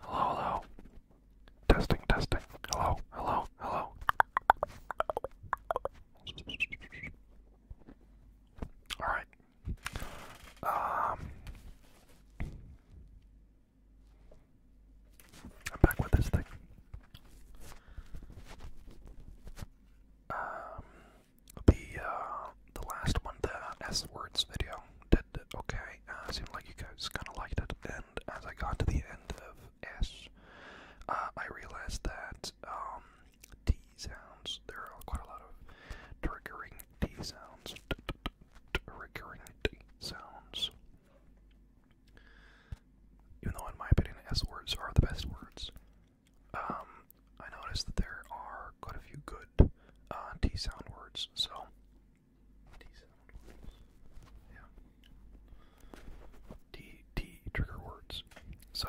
Hello, hello. Testing, testing. Hello, hello, hello. Alright. Um I'm back with this thing. Um the uh, the last one, the uh, S words video, did okay. Uh, seemed like you guys kind of liked it. And as I got to the end of S, uh, I realized that um, T sounds, there are quite a lot of triggering T sounds. Recurring T sounds. Even though, in my opinion, S words are the best words. Um, I noticed that there are quite a few good uh, T sound words, so. T sound words. Yeah. T, T trigger words. So.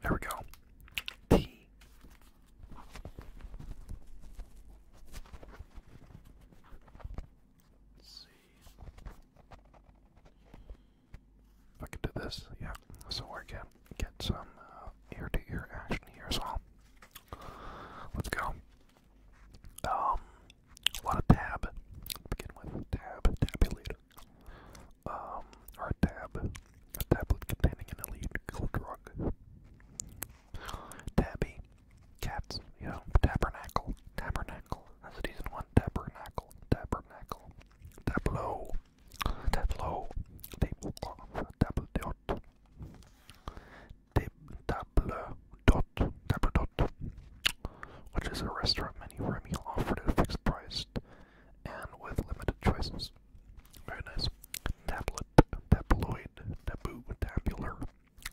There we go. T Let's see. If I can do this, yeah. So we're gonna get some ear to ear action here as well. Let's go. Um, a lot of tab to begin with. Tab, tabulator. Um, or a tab, a tablet containing an illegal drug. Tabby. Cats, you know, tabernacle. Tabernacle. That's a one. Tabernacle. Tabernacle. Tableau. Tableau. Tablecloth. Table dot. Table dot. Table dot. Which is a restaurant menu where a meal offered at a fixed price and with limited choices. Very nice. Tableau tabloid, taboo, tabular,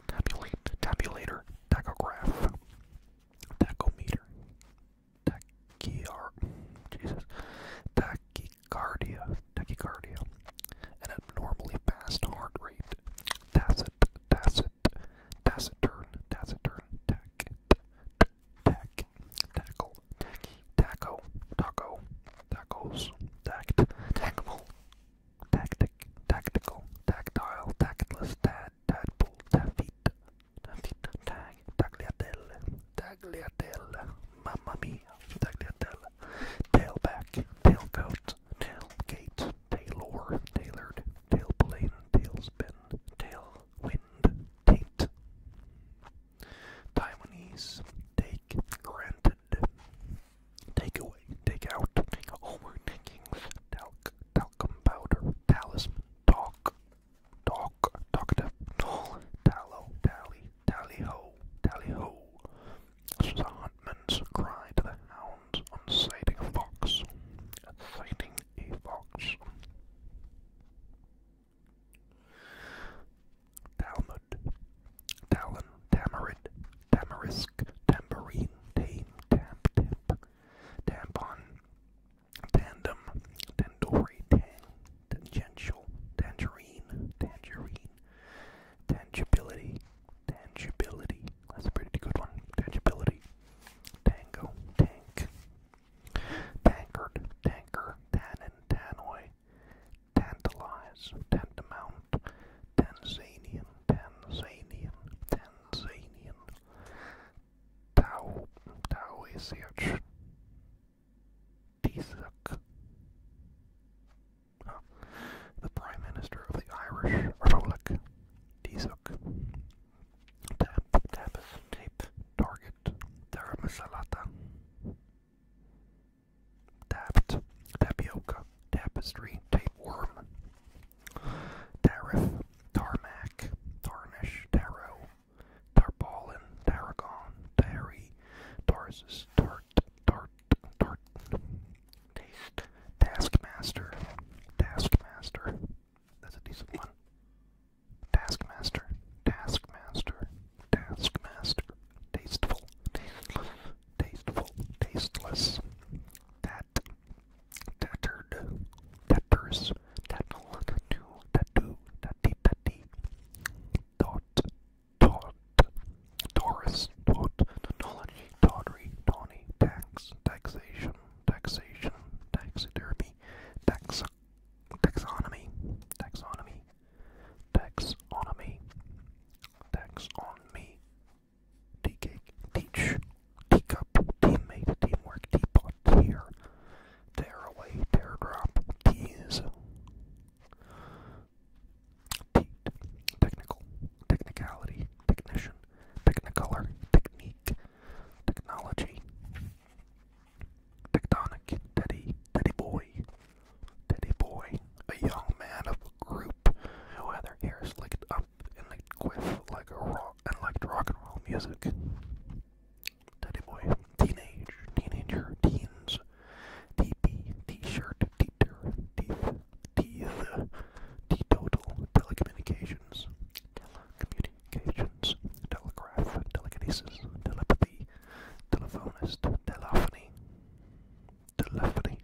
tabulate, tabulator, tachograph, tachometer, tachyar, Jesus, tachycardia, tachycardia, an abnormally fast heart rate, tacit, tacit, taciturn, taciturn, tacit, tac, tackle, tacky, taco, taco, tacos, tact, tackable, tactic, tactical, tactile, tactless, tad, tadpole, taffeet, taffeet, tag, tagliatelle, tagliatelle, mamma mia, tagliatelle, tailback, tailcoat, tailgate, tailor, tailored, tailplane, tailspin, tailwind, taint. Taiwanese take granted. Take away, take out, take over, takings, talc, talcum powder, talisman, talk, talk, talkative, tall, tallow, tally, tally ho, tally ho. This was a huntman's cry to the hounds on sighting a fox. Sighting a fox. Talmud, Talon, Tamarid, Tamarisk, Tambourine, Tame, Tamp, Tamp, Tampon, Tandem, Tandoori, Tang, Tangential, Tangerine, Tangerine, Tangibility, Tangibility, that's a pretty good one, Tangibility, Tango, Tank, Tankard, Tanker, Tannin, Tannoy, tantalize, tantamount, Tanzanian, Tanzanian, Tanzanian, Tao, Taoiseach, Tisuk. Huh. Oh. The Prime Minister of the Irish Republic, Tisuk. Tap, tap, tape, target, Taramasalata. Tapped, tapioca, tapestry, tapeworm, tariff, tarmac, tarnish, taro tarpaulin, tarragon, tarry, tarsus, tart, tart, tart, taste, taskmaster, taskmaster. That's a decent one. Taskmaster, Taskmaster, Taskmaster, Tasteful, Tasteful, Tasteful, Tasteless, Tat, Tattered, Tatters, Tattle, Tattoo, Tattoo, Tatty, Tatty, Dot, Dot, Taurus, Dot, Technology, Tawdry, Tawny, Tax, Taxation, Taxation, Taxidermy, Taxa, Taxonomy. Taxonomy. Taxonomy. Taxonomy. Teacake. Teach. Teacup. Teammate. Teamwork. Teapot. Tear. Tear away. Tear drop. Tease. Teat. Technical. Technicality. Technician. Technicolor. Technique. Technology. Tectonic Teddy, Teddy Boy, Teddy Boy, a young man of a group who had their hair slicked up and like like rock and liked rock and roll music. Teddy Boy, teenage, teenager, teens, TP, T-shirt, teeter, teeth, teeth, teetotal, telecommunications, telecommunications communications, telegraph, telekinesis, telepathy, telephonist, telephony, telephony,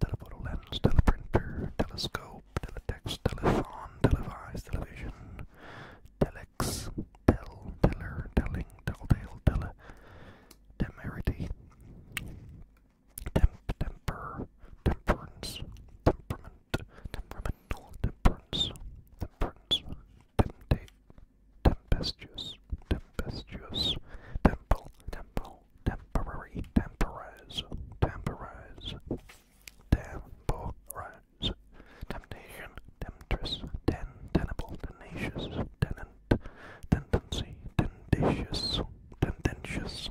telephoto lens, teleprinter, telescope, teletext, telethon, televise, television, telex, tel, teller, telling, telltale, tele, temerity, temp, temper, temperance, temperament, temperament nocturnal temperance, temperance, temptate, tempestuous, tempestuous, temple, temple, temporary, temporize, temporize, temporize, temptation, temptress, ten, tenable, tenacious, tenant, tendency, tendentious, tendentious,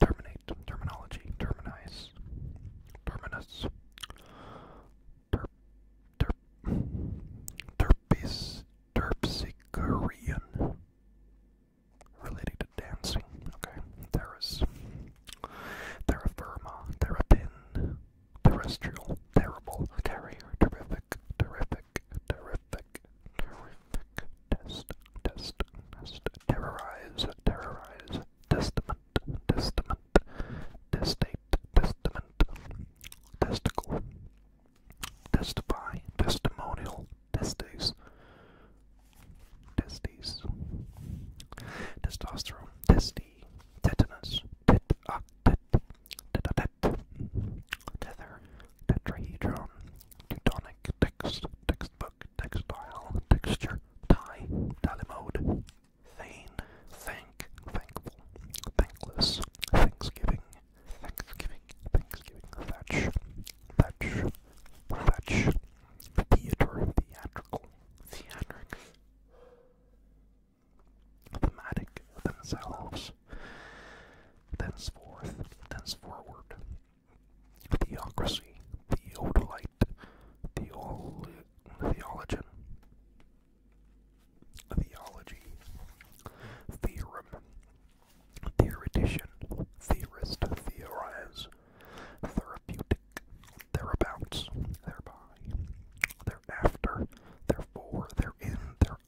Terminate, terminology, terminize, terminus, terp, terp, terpis, terpsichorean, related to dancing, okay, terrace, terra firma, terrestrial, terrible, carrier, terrific, terrific, terrific, terrific, test, test, test, terrorize, terrorize, testament, testament, testate, testament, testicle, testify, testimonial, testes, testes, testosterone, testy, tetanus, tet, ah, tet, tet, tet, tether, tetrahedron, Teutonic, textbook, textile, texture, tie, tally mode, thank, thankful, thankless, thanksgiving, thanksgiving, thanksgiving, thatch, thatch, thatch, theater, theatrical, theatric, thematic, themselves, thenceforth, thenceforward, theocracy, theodolite, theol theologian, theology, theorem, theoretician, theorist, theorize, therapeutic, thereabouts, thereby, thereafter, therefore, therein,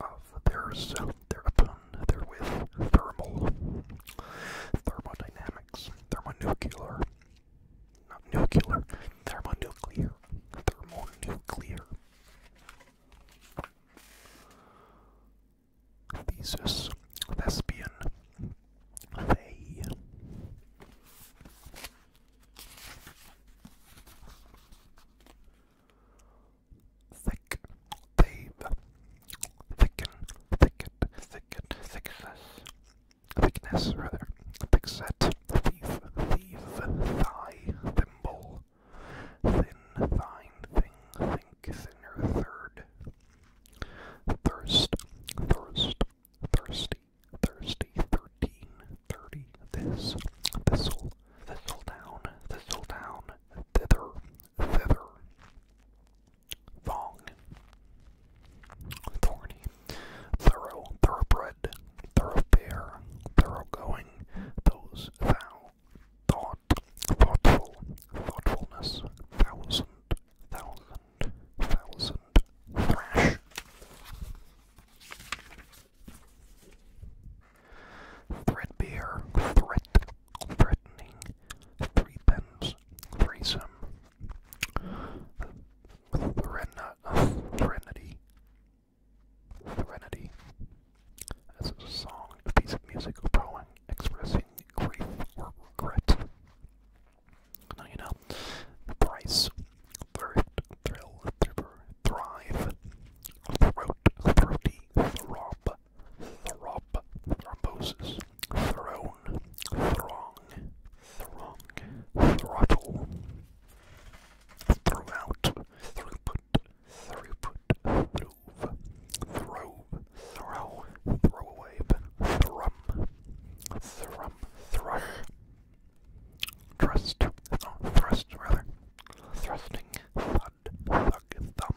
of theirs, their upon, therewith, thermal, thermodynamics, thermonuclear, nuclear, thermonuclear, thermonuclear. Thesis, lesbian, they. Thick, babe. Thicken, thicket, thicket, thickness. Thickness, rather. Thick set. Thief, thief, thigh, thimble. Thin, thine, thing, think, thinner, third. Thirst, thirst, thirsty, thirsty, thirteen, thirty, this, thistle, thistle down, thistle down, thither, Feather. Thong. Thorny. Thorough. Thoroughbred. Thoroughfare. Thoroughgoing. Those. Thou. Thought. Thoughtful. Thoughtfulness. Thousand. Thrash. Threadbare, threat, threatening, threepence, threesome, threnna, threnody, threnody. a song, a piece of music or expressing grief or regret. Now Price, thrift, thrill, thriver, thrive, throat, throaty, throb, throp, thrombosis, throne, throng, throng, throttle, throughout, throughput, throughput, throve, throve, throw, throwaway, thrum, thrum, thrush, thrust, thrust rather, thrusting, thud, thug, thumb,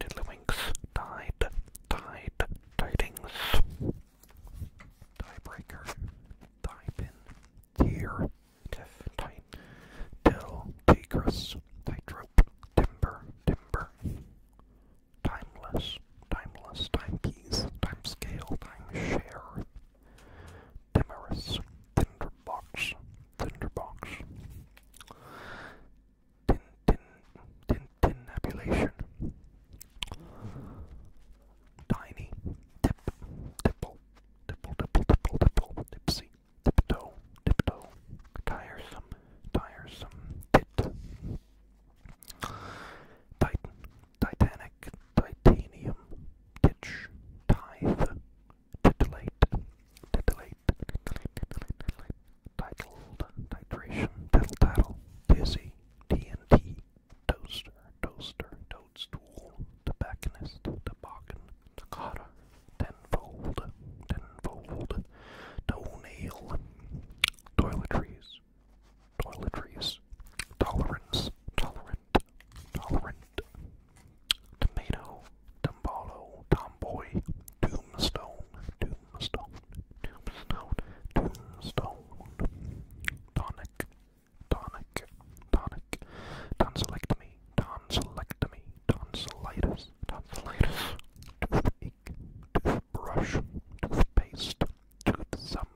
Tiddlywinks, Tide, Tide, Tidings, Tiebreaker, Tiebin, Here, Tiff, Tite, Till, Tigress, Tightrope, Timber, Timber, Timeless, Timeless, Timepiece, Timescale, Timeshare, Timorous, Tinderbox, Tinderbox, tin, tin, tin, tinabulation. Tiny, tip, tipple, tipple, tipple, tipple, tipple, tipsy, tiptoe, tiptoe, tiresome, tiresome, tit. Titan, titanic, titanium, titch, tithe, titillate, titillate, titillate, titled, titration, tittle, tattle, dizzy, TNT, toaster, toaster, toadstool, tobacconist, toboggan, toccata, tenfold, tenfold, toenail, toiletries, toiletries, tolerance, tolerant, tolerant, tomato, Tombalo, Tomboy, Tombstone, Tombstone, Tombstone, Tombstone, Tonic, Tonic, Tonic, Tonsillectomy, Tonsillectomy, Tonsillitis, Tonsillitis, Toothache, Toothbrush, Toothpaste, Toothsum,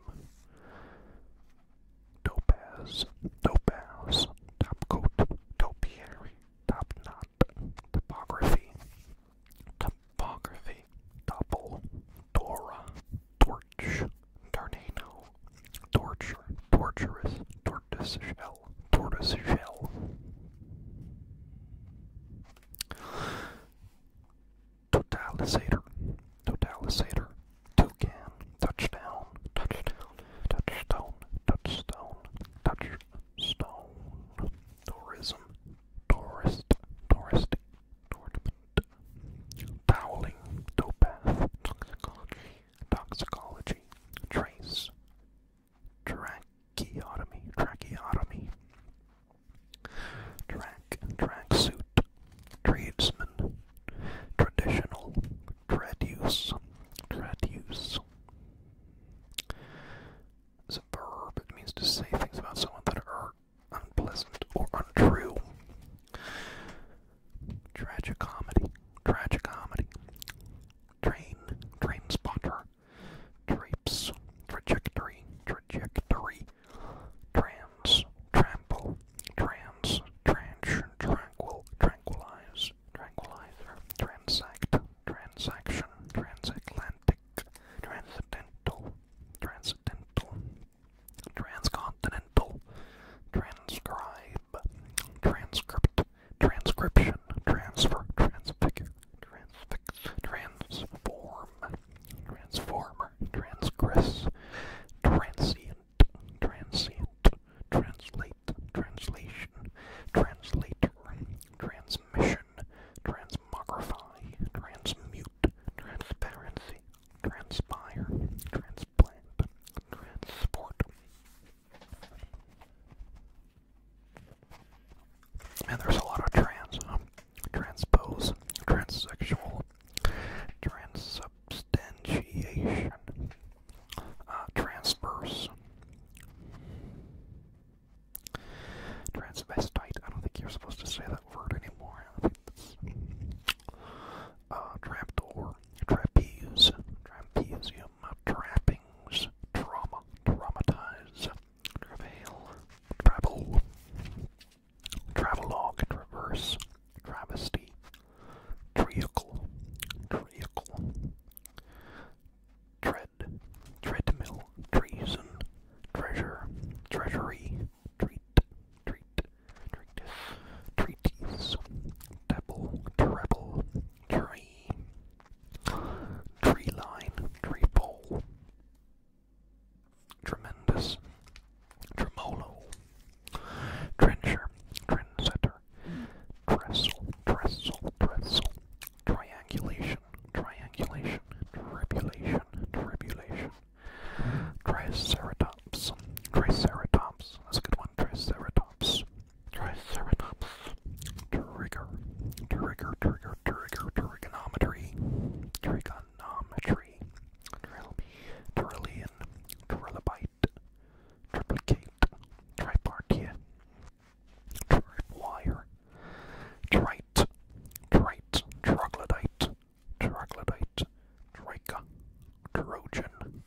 Topaz, Topaz, Topcoat, Topiary, top knot, topography, topography, topple, Dora, torch, tornado, torture, torturous, tortoise shell, tortoise shell. Totalisator, totalisator, toucan, touchdown, touchdown, touchstone, touchstone, touch, stone, tourism, tourist, touristy, tournament, toweling, dopath, toxicology, toxicology, trace, tracheotomy, tracheotomy, track, tracksuit, tradesman, traditional, trade use, trade use, it's means to say things about someone that are unpleasant or untrue. Tragicomedy. Tragicomedy. Train. Train spotter. Drapes. Trajectory. Trajectory. Trans. Trample. Trans. Tranch. Tranquil. Tranquilize tranquilizer, transact, transaction, transatlantic, transcendental, transcendental, transcontinental, transcribe, transcript, transcription, transfer, transfigure, transfix, transform, transformer, transgress, transient, transient, translate translation, translator, transmission, transmogrify, transmute, transparency, transpire, transplant, transport. And there's a lot of trans, transpose, transsexual, transsubstantiation, uh, transverse. Transvestite. I don't think you're supposed to say that word anymore. Uh, trapdoor, trapeze, trapezium, trappings, trauma, traumatize, travail, travel, travelogue, traverse, travesty, treacle, treacle, tread, treadmill, treason, treasure, treasury, treat, treat, treat, treaties, devil, treble, tree, tree line, tree pole, tremendous, tremolo, trencher, trendsetter, here. Trestle, trestle, trestle. Triangulation, triangulation, tribulation, tribulation. Triceratops, triceratops. That's a good one. Triceratops, triceratops. Trigger, trigger, trigger, trigger, trigonometry, trigonometry. Trillion, trillion, trillion, triplicate, triplicate, tripartia, tripwire, trite, trite, troglodyte, troglodyte, troika, trojan,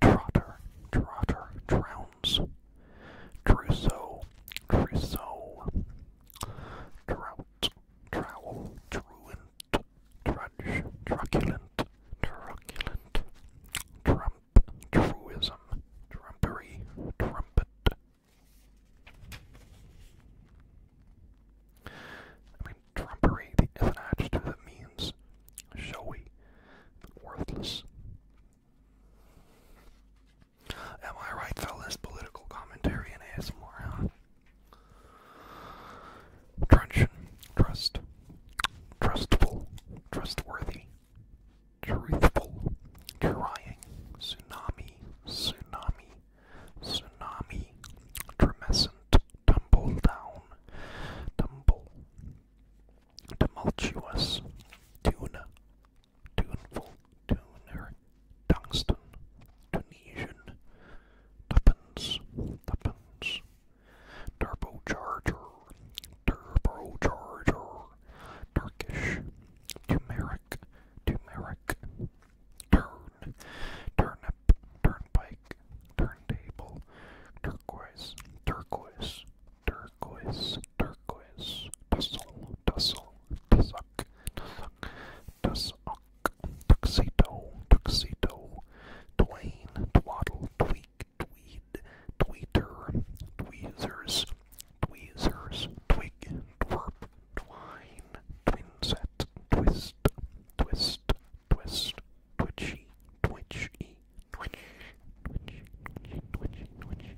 trotter, trotter, drowns, trousseau, trousseau, drought, trowel, truant, trudge, truculent, truculent, trumpet, truism, trumpery, trumpet. I mean, trumpery, the if an adjective that means showy, but worthless. Am I right, fellas? Political commentary and ASMR, huh? Truncheon, trust, trustful, trustworthy, truthful, trying, tsunami, tsunami, tsunami, tremescent, tumble down, tumble, tumultuous, tuna, tuneful, tuner, tungsten, Tunisian, tuppence, tuppence, turbocharger, turbocharger, Turkish, turmeric, turmeric, turn, turnip, turnpike, turntable, turquoise, turquoise, turquoise, turquoise, tussle, tussle, tussock, tussock, tussock, tuxedo, tuxedo, twain, twaddle, tweak, tweed, tweeter, tweezers, tweezers, twig, twerp, twine, twinset, twist, twist, twist, twitchy, twitchy, twitchy, twitchy, twitchy, twitchy,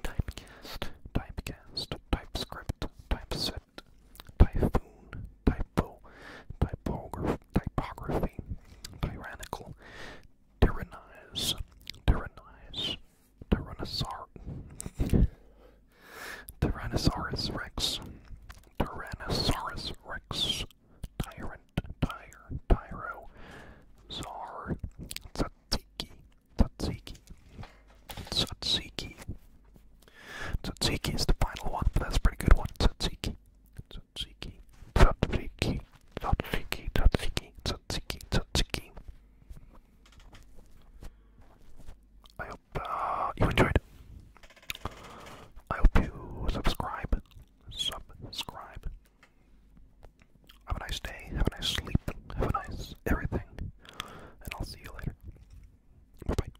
twitchy. Typecast, typescript, typeset, typhoon, typo, typography typography, tyrannical, tyrannize, tyrannize, tyrannosaur, tyrannosaurus rex, tyrannosaurus rex, tyrant, tyre, tyro, czar, tzatziki, tzatziki, tzatziki. Tzatziki is the final one, but that's a pretty good one. Tzatziki. Tzatziki, tzatziki, tzatziki, tzatziki, tzatziki, tzatziki. I hope uh, you enjoyed. I hope you subscribe, subscribe. Have a nice day, have a nice sleep, have a nice everything, and I'll see you later. bye.